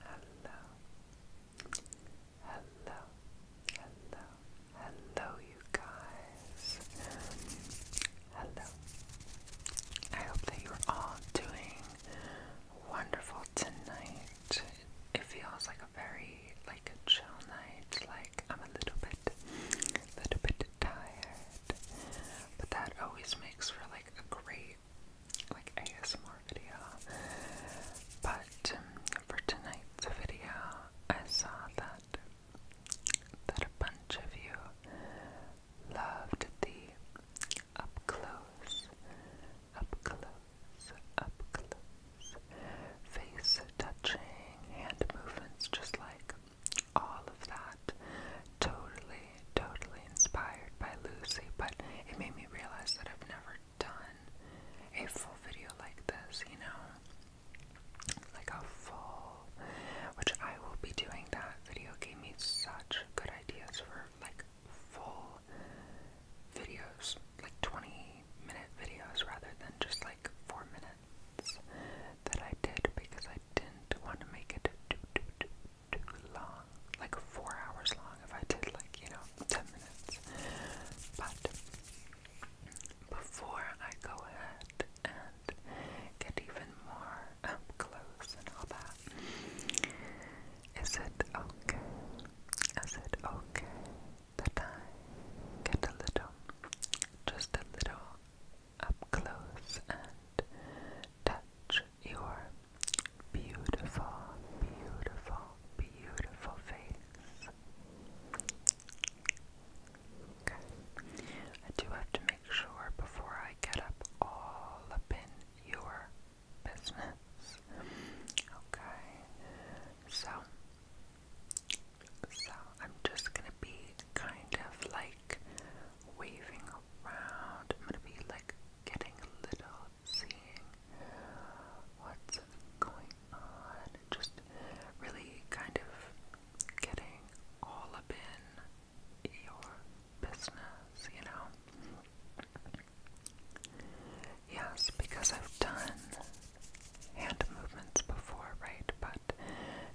Hello. Hello. Hello. Hello you guys. Hello. I hope that you're all doing wonderful tonight. It feels like a very like a chill night. Like I'm a little bit little bit tired. But that always makes for like a great like ASMR video. But um, for tonight's video, I saw that that a bunch of you loved the up close, up close, up close face touching, hand movements, just like all of that totally totally inspired by Lucy, but it made me realize that I've never done a full video like this, you know? Like a full, which I will be doing that. Video gave me such good ideas for like full videos, like 20 minute videos rather than just like 4 minutes that I did because I didn't want to make it too, too, too, too long, like four hours long if I did like, you know, 10 minutes. But before I go ahead and get even more up um, close and all that, is it okay? Is it okay that I get a little, just a little up close and touch your beautiful, beautiful, beautiful face. Okay. I do have to make sure before I get up all up in your business. Okay. So, so I'm just gonna be kind of like waving I'm gonna be like getting a little seeing what's going on. Just really kind of getting all up in your business, you know. Yes, because I've done hand movements before, right? But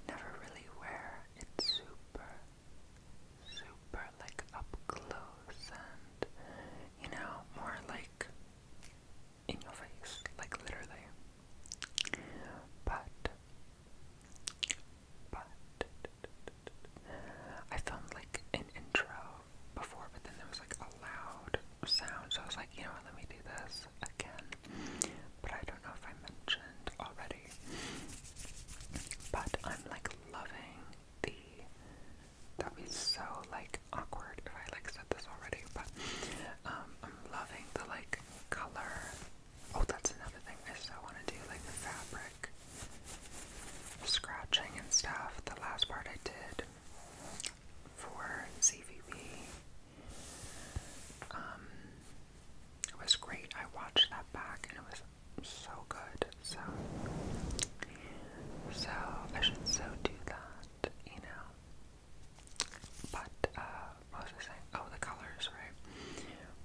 never really where it's super super like up close and you know more like in your face, like literally. But but I found like an intro before, but then there was like a loud sound, so I was like, you know what, let me do this again. But I don't know if I mentioned already. But I'm like loving the that'd be so like awkward if I like said this already, but um, I'm loving the like color. Oh that's another thing I still wanna do, like the fabric scratching and stuff. The last part I did for CVB. Um it was great. I watched that back and it was so good. So, so I should so do that, you know. But uh, what was I saying? Oh, the colors, right?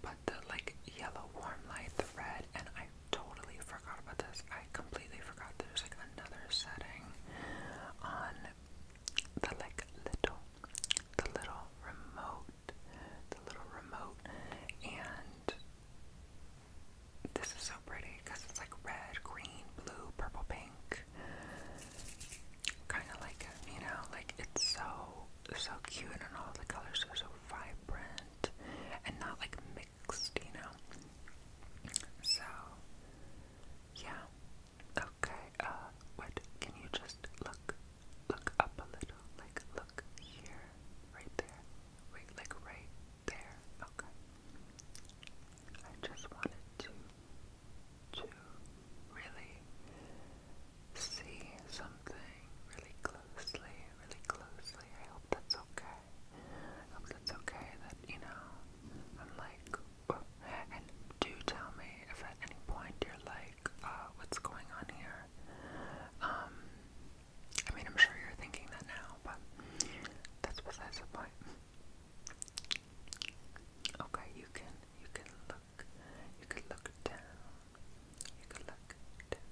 But the like yellow warm light, the red, and I totally forgot about this. I completely forgot. There's like another setting on the like little, the little remote the little remote, and this is so pretty because it's like red, green, blue, purple, pink, kind of like you know, like it's so so cute, and all the colors are so vibrant and not like mixed, you know. So yeah. Okay, uh, what can you just look look up a little? Like look here, right there. Wait, like right there. Okay. I just wanted to to really see something really closely, really closely. I hope that's okay. I hope that's okay that, you know, I'm like and do tell me if at any point you're like, uh, what's going on here? Um, I mean, I'm sure you're thinking that now, but that's besides the point. Okay, you can, you can look, you can look down, you can look down,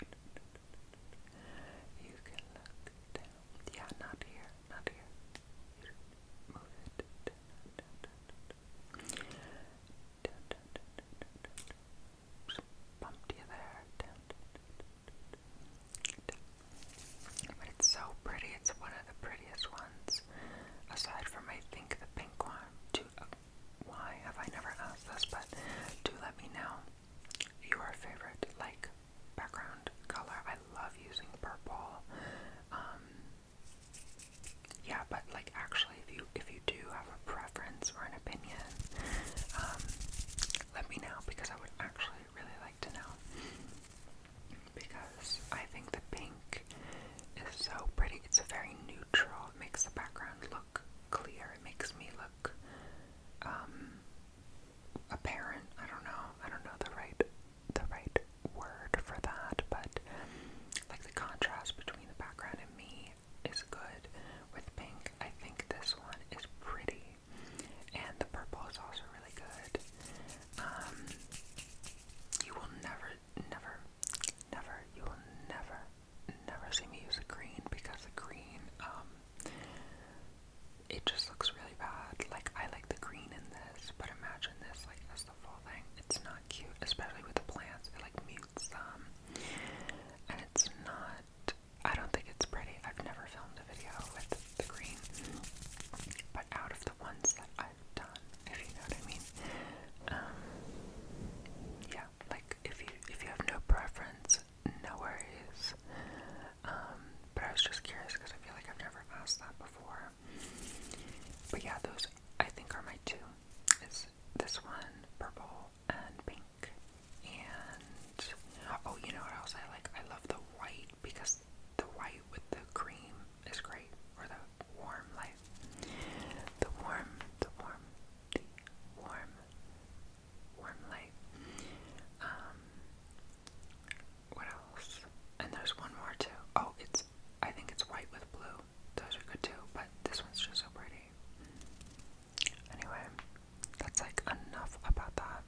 you can look down. Yeah, not here, not here. move it but it's so pretty. It's one of the prettiest ones. Aside from, I think, the pink one. Uh, why have I never asked this? But do let me know your favorite, like, background color. I love using purple. Um, yeah, but, like, actually especially if you if you do have a preference or an opinion, um, let me know because I would actually really like to know. Because I think the pink is so pretty. It's a very neutral. It makes the background look clear. It makes me look um, apparent. I don't know. I don't know the right the right word for that, but like the contrast between the background and me is good with pink. I think this one is pretty, and the purple is also really good. Um, you will never, never, never, you will never, never see me use a green because the green, um, it just looks really bad. Like, I like the green in this, but imagine this, like, as the full thing. It's not cute, especially with the plants. It, like, mutes them. And it's not I don't think it's pretty. I've never filmed a video with the green. But out of the ones that I've done, if you know what I mean, um, yeah, like if you if you have no preference, no worries. Um, but I was just curious because I feel like I've never asked that before. But yeah, those I think are my two. This one, purple and pink. And oh, you know what else I like? I love the white because the white with the cream is great. for the warm light. The warm, the warm, the warm, warm light. Um what else? And there's one more too. Oh, it's I think it's white with blue. Those are good too, but this one's just so pretty. Anyway, that's like enough about that.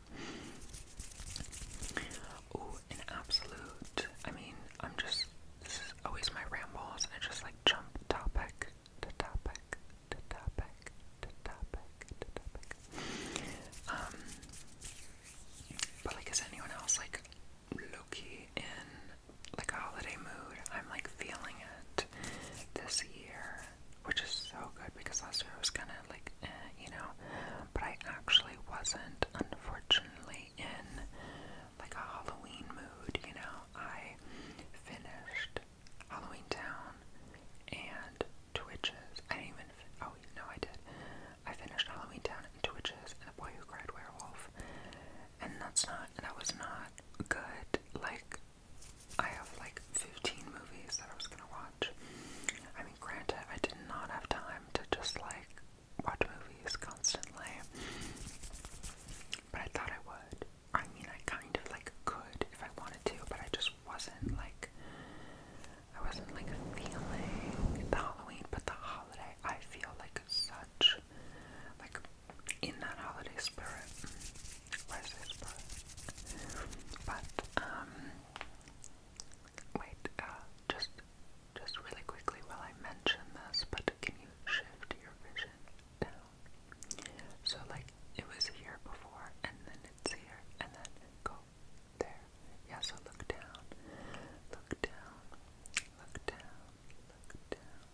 Ooh, an absolute. I mean, I'm just. This is always my rambles. I just like jump topic to topic to topic to topic to topic. Um. But like, is anyone else like low in like a holiday mood? I'm like feeling it this year, which is so good because last year I was kind of like, eh, you know, but I actually wasn't, unfortunately, in like a Halloween mood, you know. I finished Halloween Town and Twitches. I didn't even, fin oh, no, I did. I finished Halloween Town and Twitches and The Boy Who Cried Werewolf. And that's not, that was not good. Like, I have like 15 movies that I was gonna watch. I mean, granted, I did not have time to just like watch movies constantly, but I thought I would. I mean, I kind of like could if I wanted to, but I just wasn't like, I wasn't like feeling the Halloween, but the holiday, I feel like such like in that holiday spirit, birthday spirit. But um, wait, uh, just just really quickly while I mention this, but can you shift your vision down? So like it was here before, and then it's here, and then go there. Yeah, so look down, look down, look down, look down,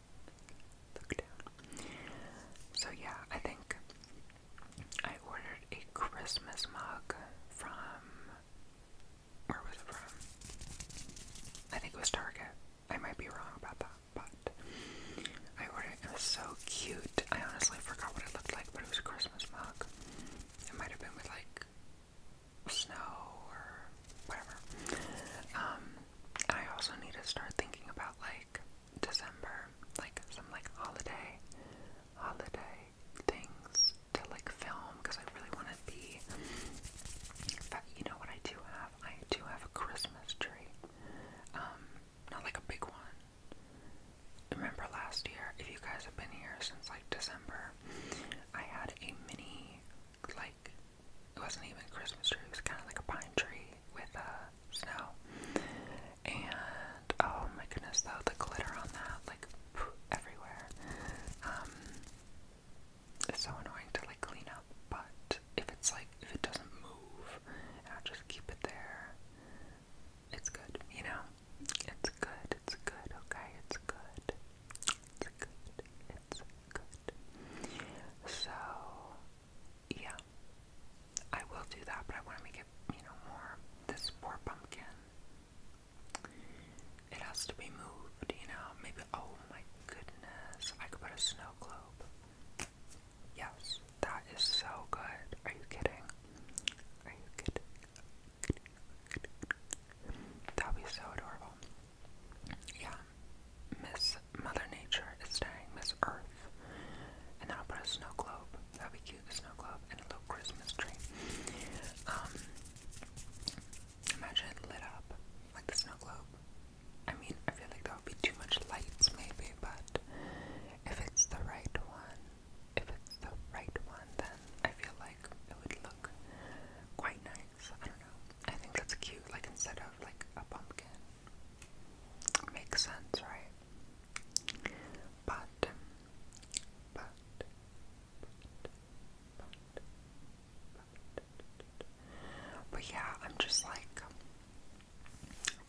so yeah, I think I ordered a Christmas mug from where was it from? I think it was Target. I might be wrong about that, but I ordered it. It was so cute. I honestly forgot what it looked like, but it was a Christmas mug. It might have been with like snow or whatever. Um, I also need to start thinking about like December, like some like holiday, holiday things to like film because I really want to be. But you know what I do have? I do have a Christmas tree, um, not like a big one. Remember last year? If you guys have been here since like December, I had a mini like it wasn't even a Christmas tree, it was kind of like a pine tree with uh, snow. And oh my goodness, though, the glitter on that, like everywhere. Um, it's so annoying to like clean up, but if it's like, if it doesn't move and I just keep it there, it's good, you know? It's good, it's good, okay? It's good. It's good, it's good. So, yeah, I will do that, but I want to make it, you know, more. This poor pumpkin. It has to be moved, you know. Maybe, oh my goodness, I could put a snow globe. Yes, that is so good. Are you kidding? Are you kidding? That would be so adorable. Yeah, Miss Mother Nature is staring Miss Earth. And then I'll put a snow globe. That'd be cute, a snow globe and a little Christmas tree. Um, imagine lit up like the snow globe. I mean, I feel like that would be too much lights, maybe, but if it's the right one, if it's the right one, then I feel like it would look quite nice. I don't know. I think that's cute, like instead of like a pumpkin Makes sense, right? But, but, but, but, but, but yeah, I'm just like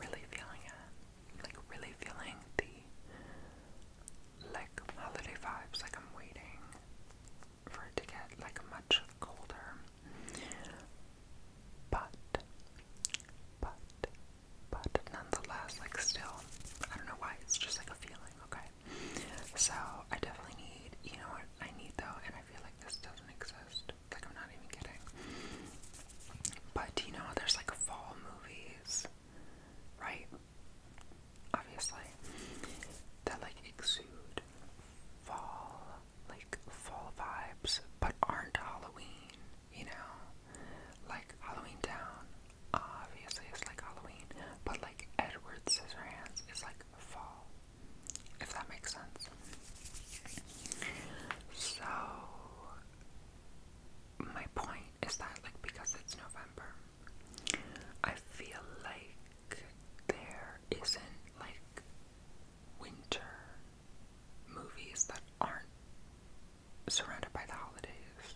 really feeling it. Like, really feeling the like holiday vibes. Like, I'm waiting for it to get like much colder but, but, but nonetheless, like still, I don't know why, it's just like a feeling, okay? So, I definitely need, you know I need though, and I feel like this doesn't exist. Like, I'm not even kidding. But, you know, there's like fall movies, right? Obviously, that like exude fall like fall vibes but aren't Halloween, you know? Like Halloween Town, obviously it's like Halloween, but like Edward Scissorhands is like fall. If that makes sense. So my point is that like because it's November I feel like there is isn't like winter movies that aren't surrounded by the holidays.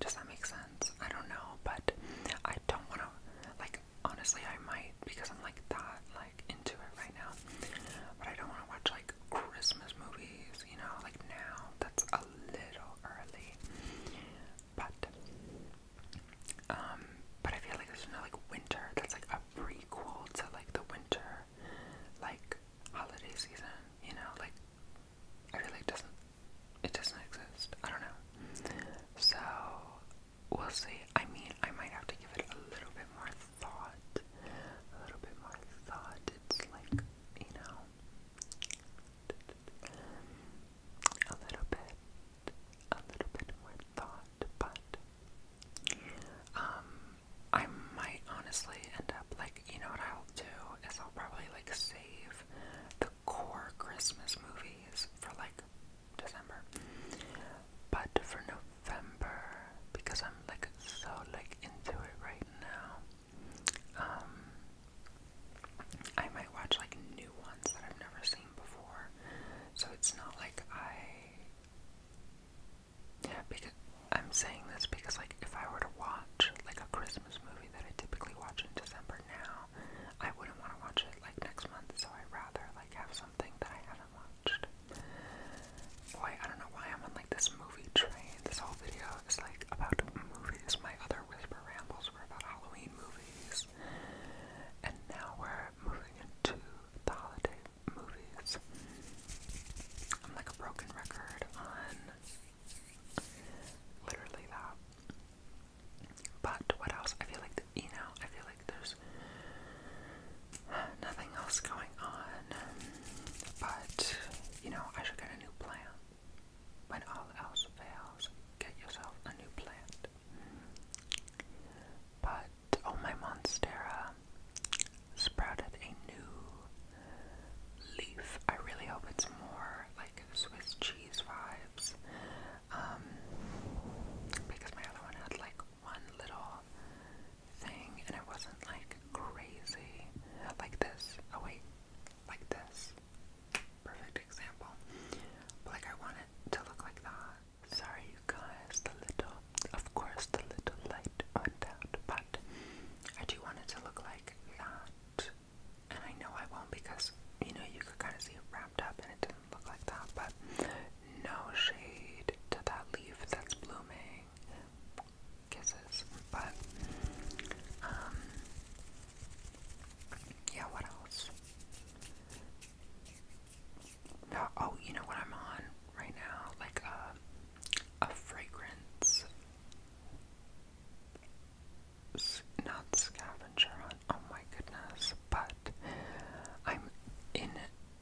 Does that make sense? I don't know, but I don't want to, like, honestly, I might because I'm like that, like, into it right now. But I don't want to watch, like, Christmas movies, you know, like now. That's a little early. But, um, but I feel like there's no, like, winter that's like a prequel to like the winter, like holiday season. You know, like I feel doesn't it doesn't exist. I don't know. So we'll see. I mean, I might have to give it a little bit more thought. A little bit more thought. It's like you know, a little bit a little bit more thought, but um, I might honestly end up like you know what I'll do is I'll probably like save the core Christmas movies for like December, but for November because I'm like so like into it right now. Um, I might watch like new ones that I've never seen before, so it's not like I because I'm saying this because, like, if I were to watch like a Christmas movie that I typically watch in December now, I wouldn't want to watch it like next month. So I'd rather like have something that I haven't watched. Boy, I don't know why I'm on like this movie train. This whole video is like about movies. My other whisper rambles were about Halloween movies, and now we're moving into the holiday movies. I'm like a broken record on literally that. But what else? I feel like you know, I feel like there's nothing else going on. But you know, I should get a new plant. When all else fails, get yourself a new plant. But oh my monstera sprouted a new leaf. I really hope it's more like Swiss cheese vibes. Um, because my other one had like one little thing and it wasn't like crazy. Like this. Oh wait. Like this. Perfect example. like I want it to look like that. Sorry, you guys, the little, of course, the little light went out, but I do want it to look like that. And I know I won't because, you know, you could kind of see it wrapped up and it didn't look like that, but no shade to that leaf that's blooming. Kisses, but, um, yeah, what else? oh, you know what I'm on right now? Like a, uh, a fragrance. Not scavenger oh my goodness, but I'm in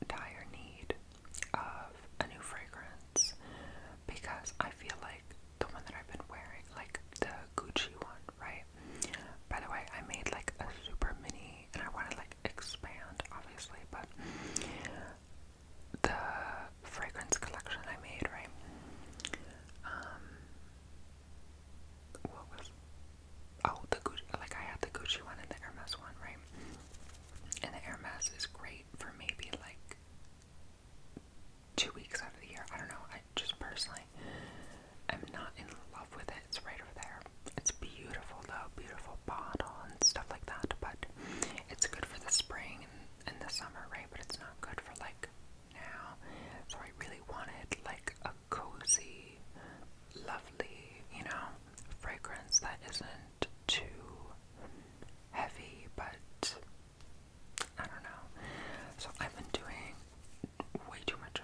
dire need of a new fragrance because I feel like the one that I've been wearing, like the Gucci one, right? By the way, I made like a super mini and I want like expand obviously but the fragrance collection I made right um what was oh the Gucci like I had the Gucci one and the Hermes one right and the Hermes is great for maybe like two weeks out of the year I don't know I just personally I'm not in love with it. It's right over there. It's beautiful though, beautiful bottle and stuff like that. But it's good for the spring and, the summer, right? But it's not good for like now. So I really wanted like a cozy, lovely, you know, fragrance that isn't too heavy, but I don't know. So I've been doing way too much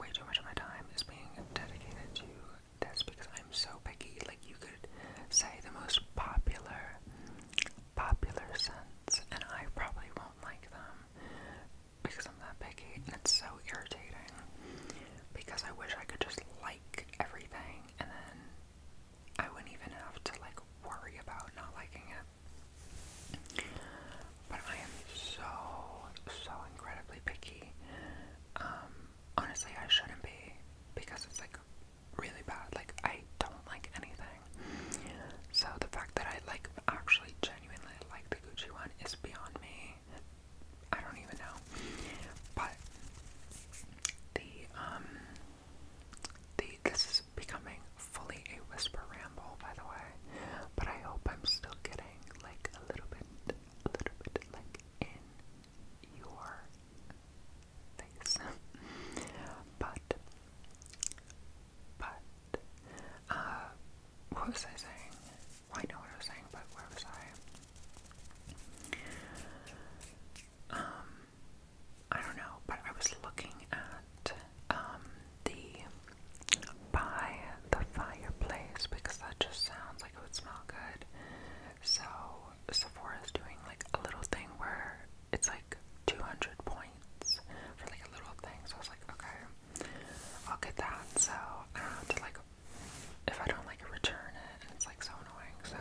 way too much of my time is being dedicated to this because I'm so picky. Like you could say the most popular, popular scents, and I probably won't like them because I'm that picky, and it's so irritating. Because I wish I could just like everything, and then I wouldn't even have to like worry about not liking it but I am so, so incredibly picky. Um, honestly, I shouldn't be because it's like really bad. Like, I don't like anything. So, the fact that I like actually genuinely like the Gucci one is beyond me. I don't even know. But the, um, the, this is becoming fully a whisper ramble, by the way. But I hope I'm still getting like a little bit a little bit like in your face. but, but, uh, what was I saying? I know what I was saying, but where was I? Um, I don't know, but I was looking at, um, the by the fireplace because that just sounds like it would smell good. So Sephora is doing like a little thing where it's like 200 points for like a little thing. So I was like, okay, I'll get that. So I like, if I don't like return it. it's like so annoying. So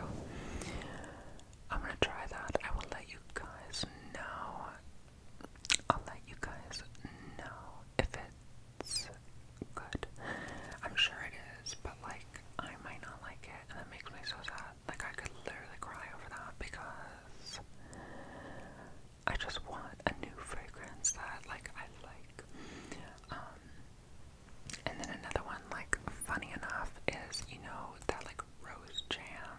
I'm gonna try that. I will let you guys know. I'll let you guys know if it it's good. I'm sure it is, but like I might not like it, and that makes me so sad. Like I could literally cry over that because I just want a new fragrance that like I like. Um, and then another one, like funny enough, is you know that like rose jam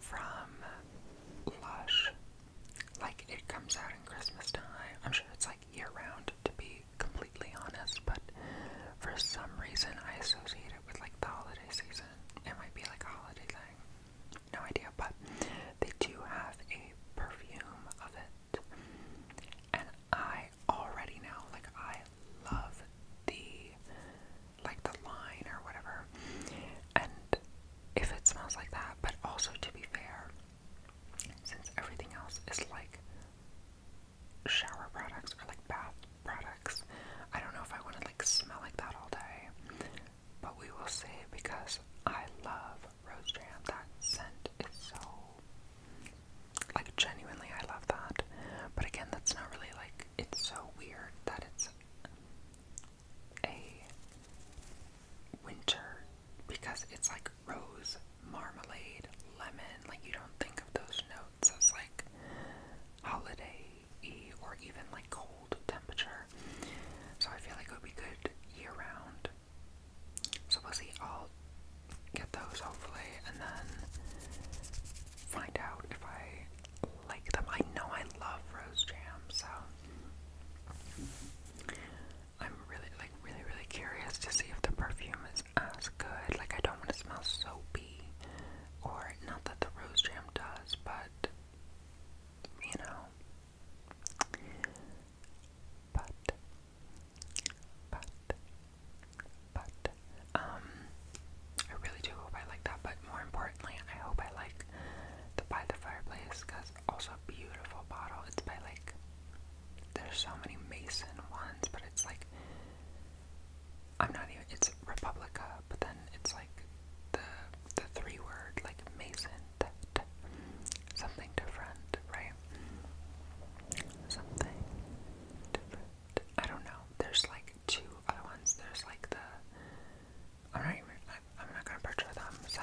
from Lush like it comes out in Christmas time. I'm sure it's like year round to be completely honest, but for some reason I associate it with like the holiday season. It might be like a holiday thing. No idea, but they do have a perfume of it. And I already know, like I love the like the line or whatever. And if it smells like that, but also to be fair, since everything else is like shower products or like bath products, I don't know if I want to like smell like that all day, but we will see because I love rose jam. That scent is so like genuinely, I love that. But again, that's not really like it's so weird that it's a winter because it's like rose, marmalade, lemon. Like you don't think of those notes as like holiday or even like cold temperature. So I feel like it would be good year round. So we'll see. I'll get those hopefully and then find out if I like them. I know I love rose jam, so I'm really, like, really, really curious to see if the perfume is as good. Like, I don't want to smell soapy, or not that the rose jam does, but you know. But, but, but, um, I really do hope I like that. But more importantly, I hope I like the by the fireplace also beautiful bottle. It's by like there's so many Mason ones, but it's like I'm not even it's Republica, but then it's like the the three word like Mason that something different, right? Something different. I don't know. There's like two other ones. There's like the I'm not I'm not gonna picture them, so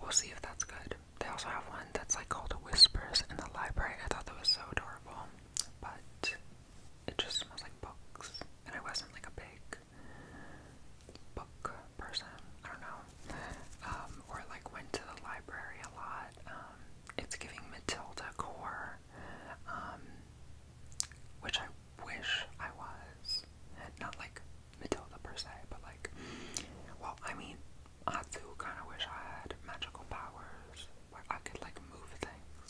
we'll see if that's good. They also have one that's like called Whispers in the library. I thought that was so adorable, but it just smells like books, and I wasn't like a big book person. I don't know, um, or like went to the library a lot. Um, it's giving Matilda core, um, which I wish I was. Not like Matilda per se, but like, well, I mean, I do kind of wish I had magical powers where I could like move things,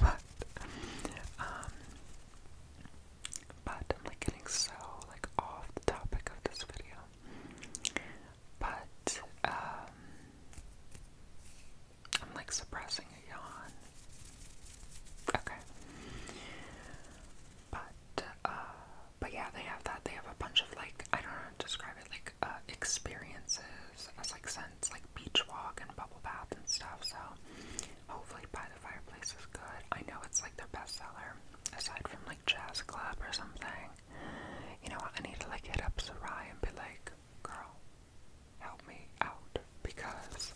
but um, but I'm like getting so like off the topic of this video, but um, I'm like suppressing a yawn Okay. But uh, but yeah, they have that. They have a bunch of like I don't know how to describe it, like uh, experiences as like scents, like beach walk and bubble bath and stuff. So hopefully by the fireplace is good. I know it's like their bestseller, aside from like jazz club or something. You know what, I need to like hit up Sarai and be like, girl, help me out because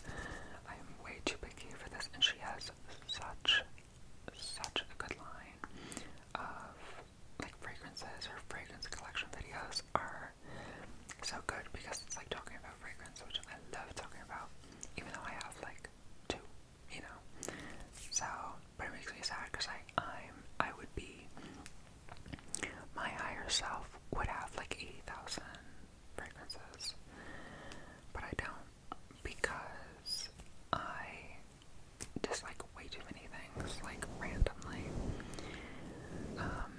I'm way too picky for this and she has such such a good line of like fragrances or fragrance collection videos are so good because it's like talking about fragrance, which I love talking about, even though I have like two, you know. So, but it makes me sad because I, i I would be, my higher self would have like eighty thousand fragrances, but I don't because I dislike way too many things, like randomly. Um,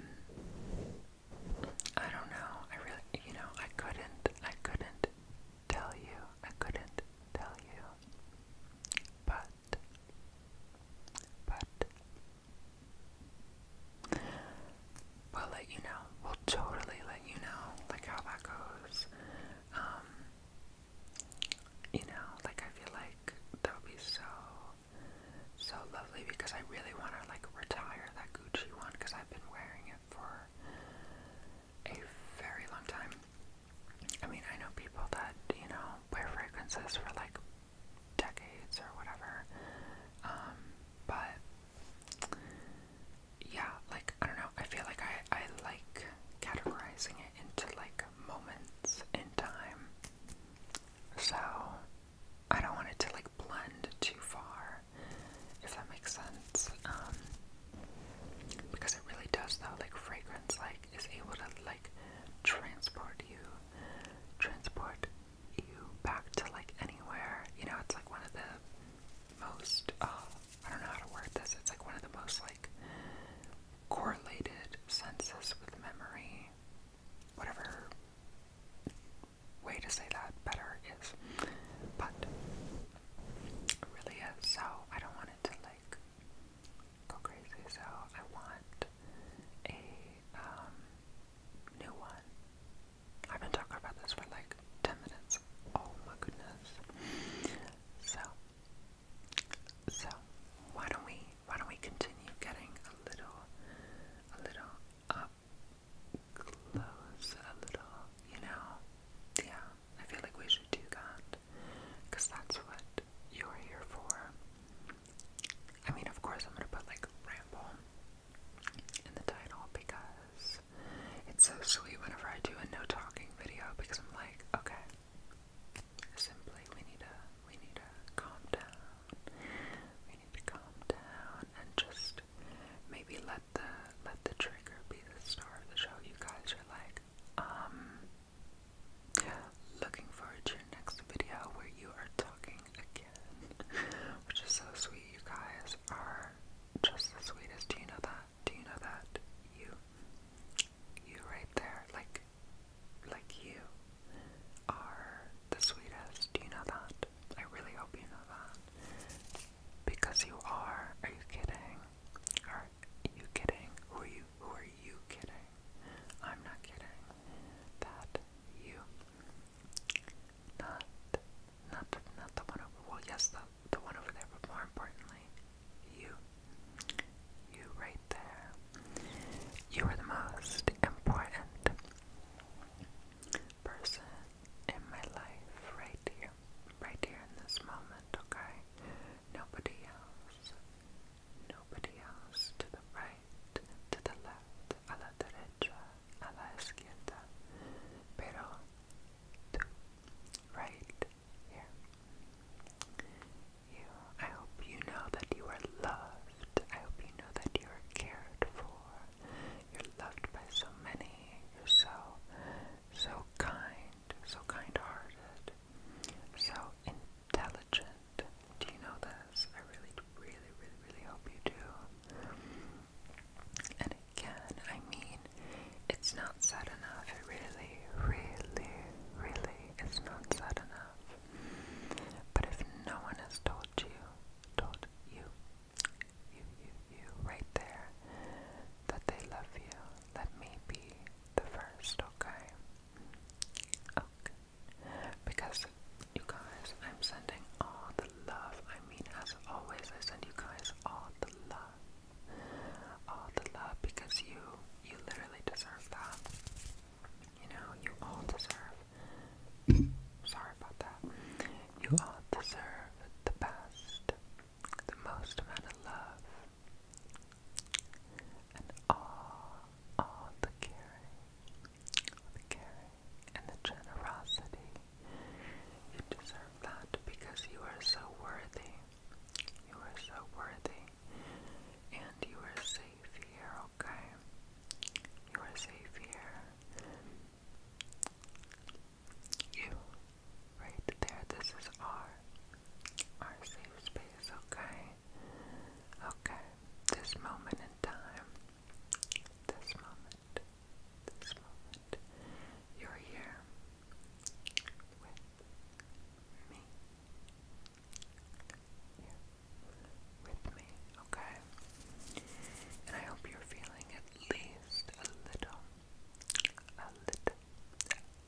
I don't know. I really, you know, I couldn't, I couldn't tell you. I couldn't tell you. But, but, we'll let you know. We'll totally let you know, like how that goes. Um, you know, like I feel like that would be so, so lovely because I really want to like retire that Gucci one because I've been wearing it for a very long time. I mean, I know people that you know wear fragrances for like decades or whatever, um, but yeah, like I don't know, I feel like I, I like categorizing it into like moments in time. So I don't want it to like blend too far, if that makes sense. Um because it really does though, like fragrance like is able to like transport you transport you back to like anywhere. You know, it's like one of the most, uh, I don't know how to word this, it's like one of the most like correlated senses with memory. Whatever way to say that better is. But it really is, so I don't want it to like go crazy, so I want a um, new one. I've been talking about this for like 10 minutes. Oh my goodness. So, so why don't we why don't we continue getting a little a little up close a little, you know? Yeah, I feel like we should do that cuz that's what you're here for. I mean, of course I'm going to put like ramble in the title because it's so sweet whenever I do a no talking video because I'm like, okay, simply we need to we need to calm down. We need to calm down and just maybe let the let the trigger be the star of the show. You guys are like, um, looking forward to your next video where you are talking again. Which is so sweet. You guys are just the sweetest. Do you know that? Do you know that? You, you right there, like, like you are the sweetest. Do you know that? I really hope you know that. Because you are. Are you kidding? Are you kidding? Who are you? Who are you kidding? I'm not kidding. That you not, not, not the one over. Well, yes, the the one over there, but more importantly, you, you right there. You are the most important person in my life, right here, right here in this moment. Okay, nobody else, nobody else to the right, to the left, a la a la right here. You, I hope you know that you are loved. I hope you know that you are cared for. You're loved by so many. You're so, so kind, so kind-hearted, so intelligent. Do you know this? I really, really, really, really hope you do. And again, I mean, it's not sad enough. It really, really, really is not sad enough. But if no one has told you, told you, you, you, you, right there, that they love you, let me be the first, okay? Okay. Because, you guys, I'm sending all the love I I mean, as always, I send you guys all the love, all the love, because you, you literally deserve that. You know, you all deserve. Sorry about that. You all deserve the best, the most amount of love, and all, all the caring, all the caring and the generosity. You deserve that because you are so worthy. You are so worthy. And you are safe here, okay? You are safe here. You, right there, this is our, our safe space, okay? Okay, this moment in time, this moment, this moment, you're here with me. Here with me, okay? And I hope you're feeling at least a little, a little,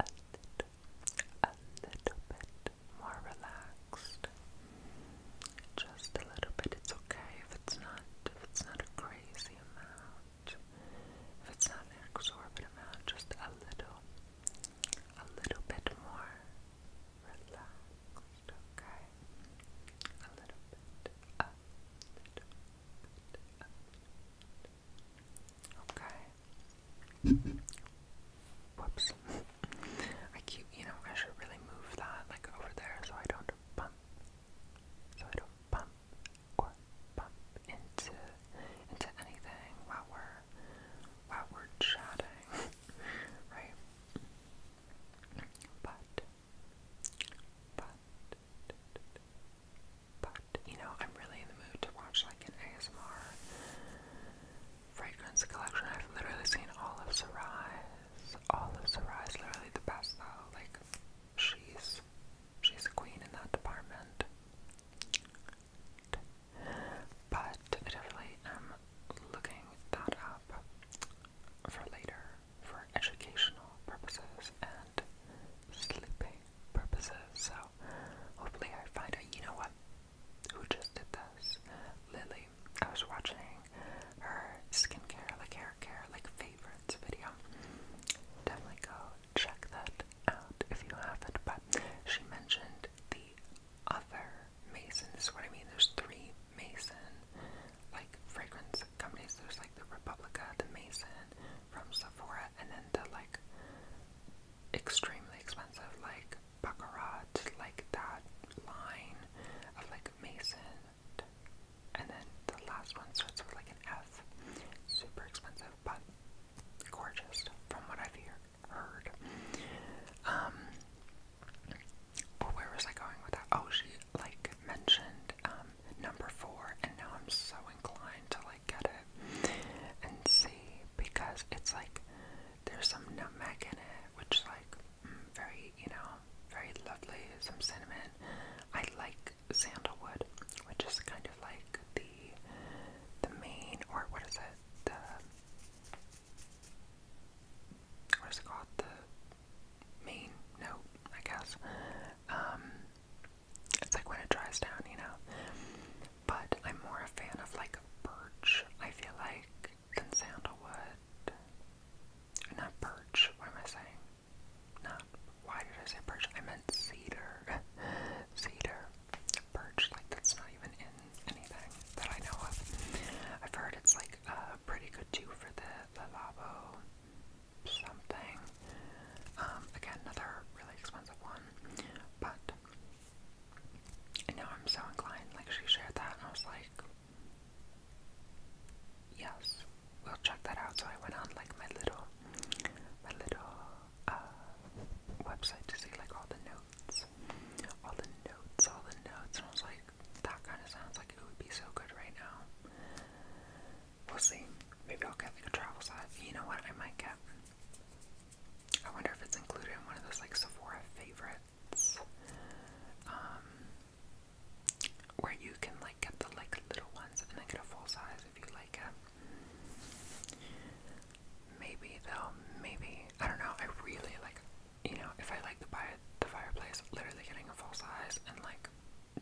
a little, a little bit more relaxed. Just a little bit. It's okay if it's not if it's not a crazy amount. If it's not an exorbitant amount, just a little, a little bit more relaxed, okay? a little bit, a little bit. okay? Whoops. I keep, you know, I should really move that, like, over there so I don't so I don't bump or bump into into anything while we're while we're chatting, right? But but but you know, I'm really in the mood to watch like an ASMR fragrance collection. I've literally seen all of Sarai's all of Sarah literally the best though. Like she's she's a queen in that department. But I definitely am looking that up for later for educational purposes and sleeping purposes. So hopefully I find out you know what who just did this. Lily. I was watching her skincare, like hair care, like favorites video. Definitely go check that out if you haven't. But she mentioned the other Mason. This is what I mean. There's three Mason like fragrance companies. There's like the Republica, the Mason from Sephora, and then the like extremely expensive like Baccarat, like that line of like Mason and then the last one starts with like an F. Super expensive, but gorgeous from what I've heard. Um, but where was I going with that? Oh, she like mentioned um, number four, and now I'm so inclined to like get it and see because it's like there's some nutmeg in it, which like very, you know, very lovely, some cinnamon. I like sandalwood, which is kind of like the the main or what is it? The what is it called? The main note, I guess. Um it's like when it dries down, you know. But I'm more a fan of like birch, I feel like, than sandalwood. Not birch, what am I saying? Not, why did I say birch? I meant cedar. cedar. Birch, like that's not even in anything that I know of. I've heard it's like a pretty good too for the lalabo something. Um, again, another really expensive one. But, you I'm so inclined, like she shared that I was like, Yes, we'll check that out. So I went on like my little, my little uh, website to see like all the notes, all the notes, all the notes, and I was like, that kind of sounds like it would be so good right now. We'll see. Maybe I'll get like a travel set. You know what? I might get. I wonder if it's included in one of those like Sephora favorites. Um, where you can like get the like little ones and then get a full size if you like it. Maybe though, maybe I don't know. I really like, you know, if I like the buy the fireplace, literally getting a full size and like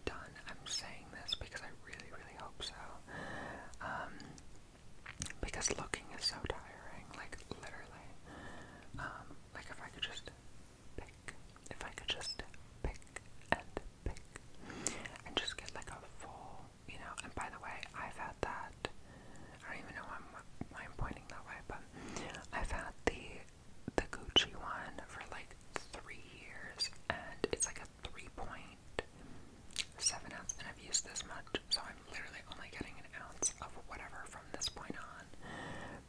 done. I'm saying this because I really, really hope so. Um, because looking is so tiring, like literally. Um, like if I could just pick. If I could just pick and pick and just get like a full, you know, and by the way, I've had that, I don't even know why I'm, why I'm pointing that way, but I've had the, the Gucci one for like three years and it's like a 3.7 ounce and I've used this much, so I'm literally only getting an ounce of whatever from this point on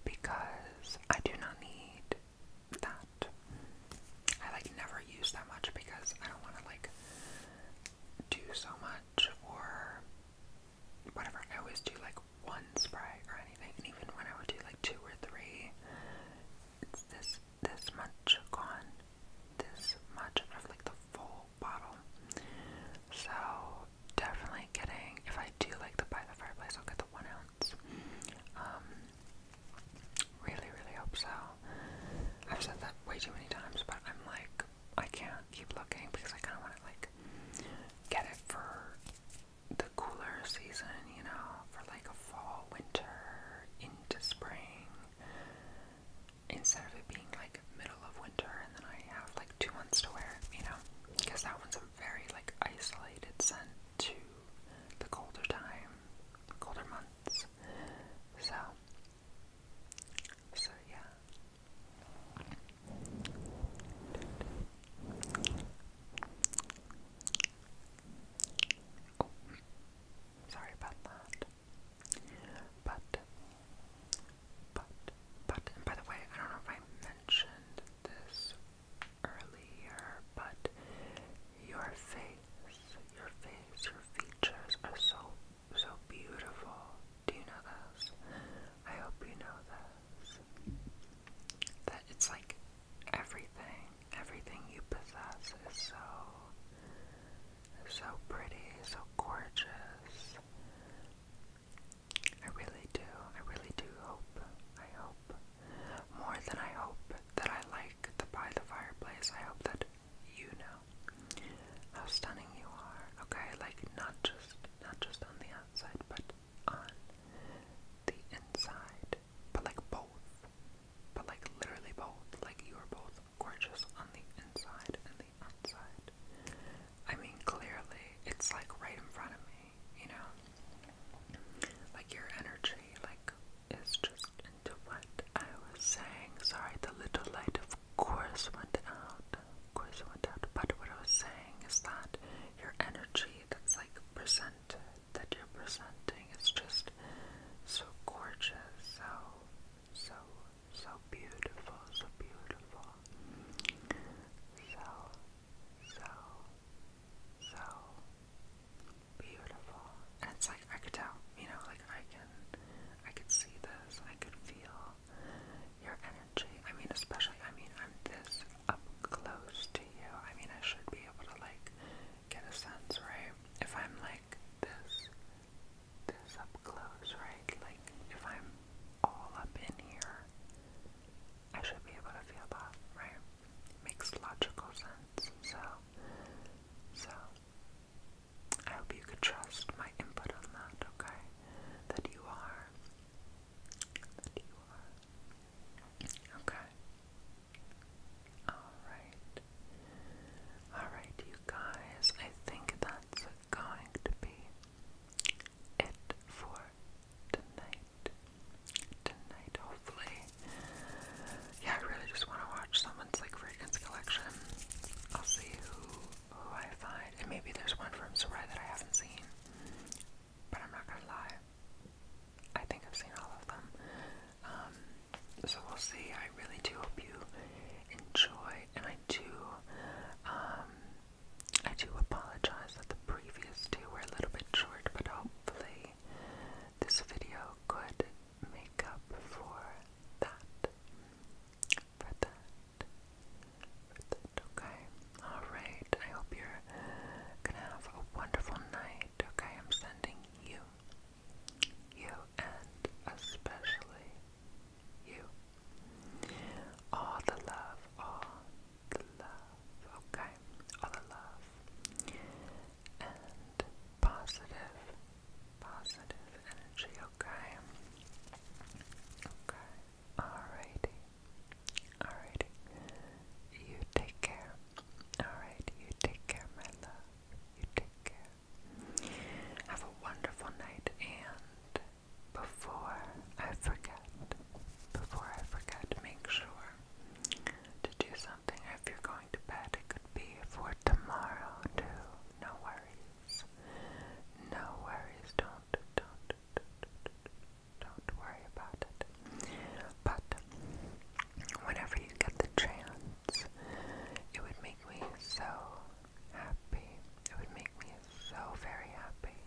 because I do not need that. I like never use that much because I don't want to like do so much or whatever. I always do like one spray or anything, and even when I would do like two or three, this this much gone, this much of like the full bottle. So definitely getting if I do like to buy the fireplace, I'll get the one ounce um, really, really hope so. I've said that way too many times, but I'm like, I can't keep looking because I kind of want to like get it for the cooler season, you know, for like a fall, winter, into spring, instead of it being like middle of winter and then I have like two months to wear you know, because that one's very like isolated sent to the colder time, colder months. So, so yeah. Oh, sorry about that. But, but, but, by the way, I don't know if I mentioned this earlier, but your face, your face, your features are so, so beautiful. Do you know this? I hope you know this. That it's like everything, everything you possess is so, so pretty, so gorgeous. I really do. I really do hope. I hope. More than I hope that I like the by the fireplace, I hope that you know how stunning you are. Okay, like not just not just on the outside, but on the inside. But like both. But like literally both. Like you are both gorgeous on the inside and the outside. I mean clearly it's like right in front of me you know? Like your energy, like, is just into what I was saying. Sorry, the little light, of course, went out. Of course, went out. But what I was saying is that your energy that's like presented, that you're presenting, is just so gorgeous, so, so, so beautiful, so beautiful. So, so, so beautiful. And it's like I could tell, you know, like I can, I can see this. I could feel your energy. I mean, especially, I mean, I'm this up close to you. I mean, I should be able to like get a sense, right? If I'm like this, this up close, right? Like if I'm all up in here, I should be able to feel that, right? Makes logical sense. So, so I hope you could trust my input on that, okay? That you are. That you are. Okay. Alright. Alright, you guys. I think that's going to be it for tonight. Tonight, hopefully. Yeah, I really just want to watch someone's like fragrance collection. I'll see who who I find, and maybe there's one from Sarai that I haven't seen. But I'm not gonna lie. I think I've seen all of them. Um, so we'll see. I really do hope you enjoy, and I do. Um, I do apologize that the previous two were a little bit short, but hopefully this video could make up for that. For that. For that, okay? Alright, I hope you're gonna have a wonderful night, okay? I'm sending you, you, and especially you, all the love, all love, okay? Other love and positive, positive energy, okay? Okay, alrighty, alrighty. You take care. Alright, you take care, my love. You take care. Have a wonderful night and before I forget, before I forget, make sure to do something. If you're going to bed, it could be for tomorrow too. No worries. No worries. Don't, don't, don't, don't worry about it. But whenever you get the chance, it would make me so happy. It would make me so very happy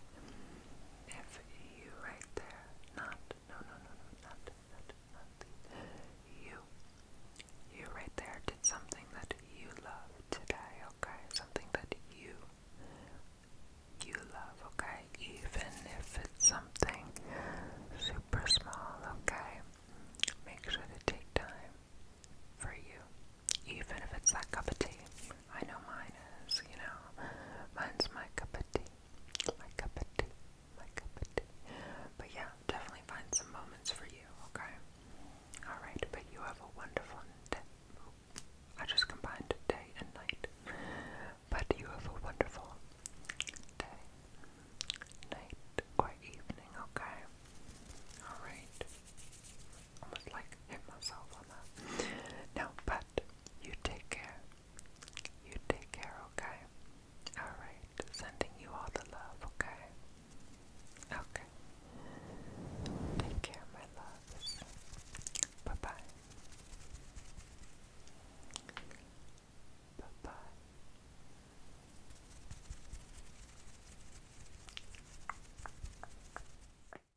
if you right there, not, no, no, no, no, not, not, not, you, you right there did something that you love today, okay? Something that you, you love, okay? Even if it's something super small, okay? Make sure to take time for you, even if it's that cup of tea. I know mine is, you know. Mine's my cup of tea. My cup of tea. My cup of tea. But yeah, definitely find some moments for you, okay? Alright, but you have a wonderful day. I just combined day and night. But you have a wonderful day, night, or evening, okay? Alright almost like hit myself on that. No, but you take care. You take care, okay? Alright, sending you all the love, okay? Okay. Take care, my loves. Bye bye. Bye bye.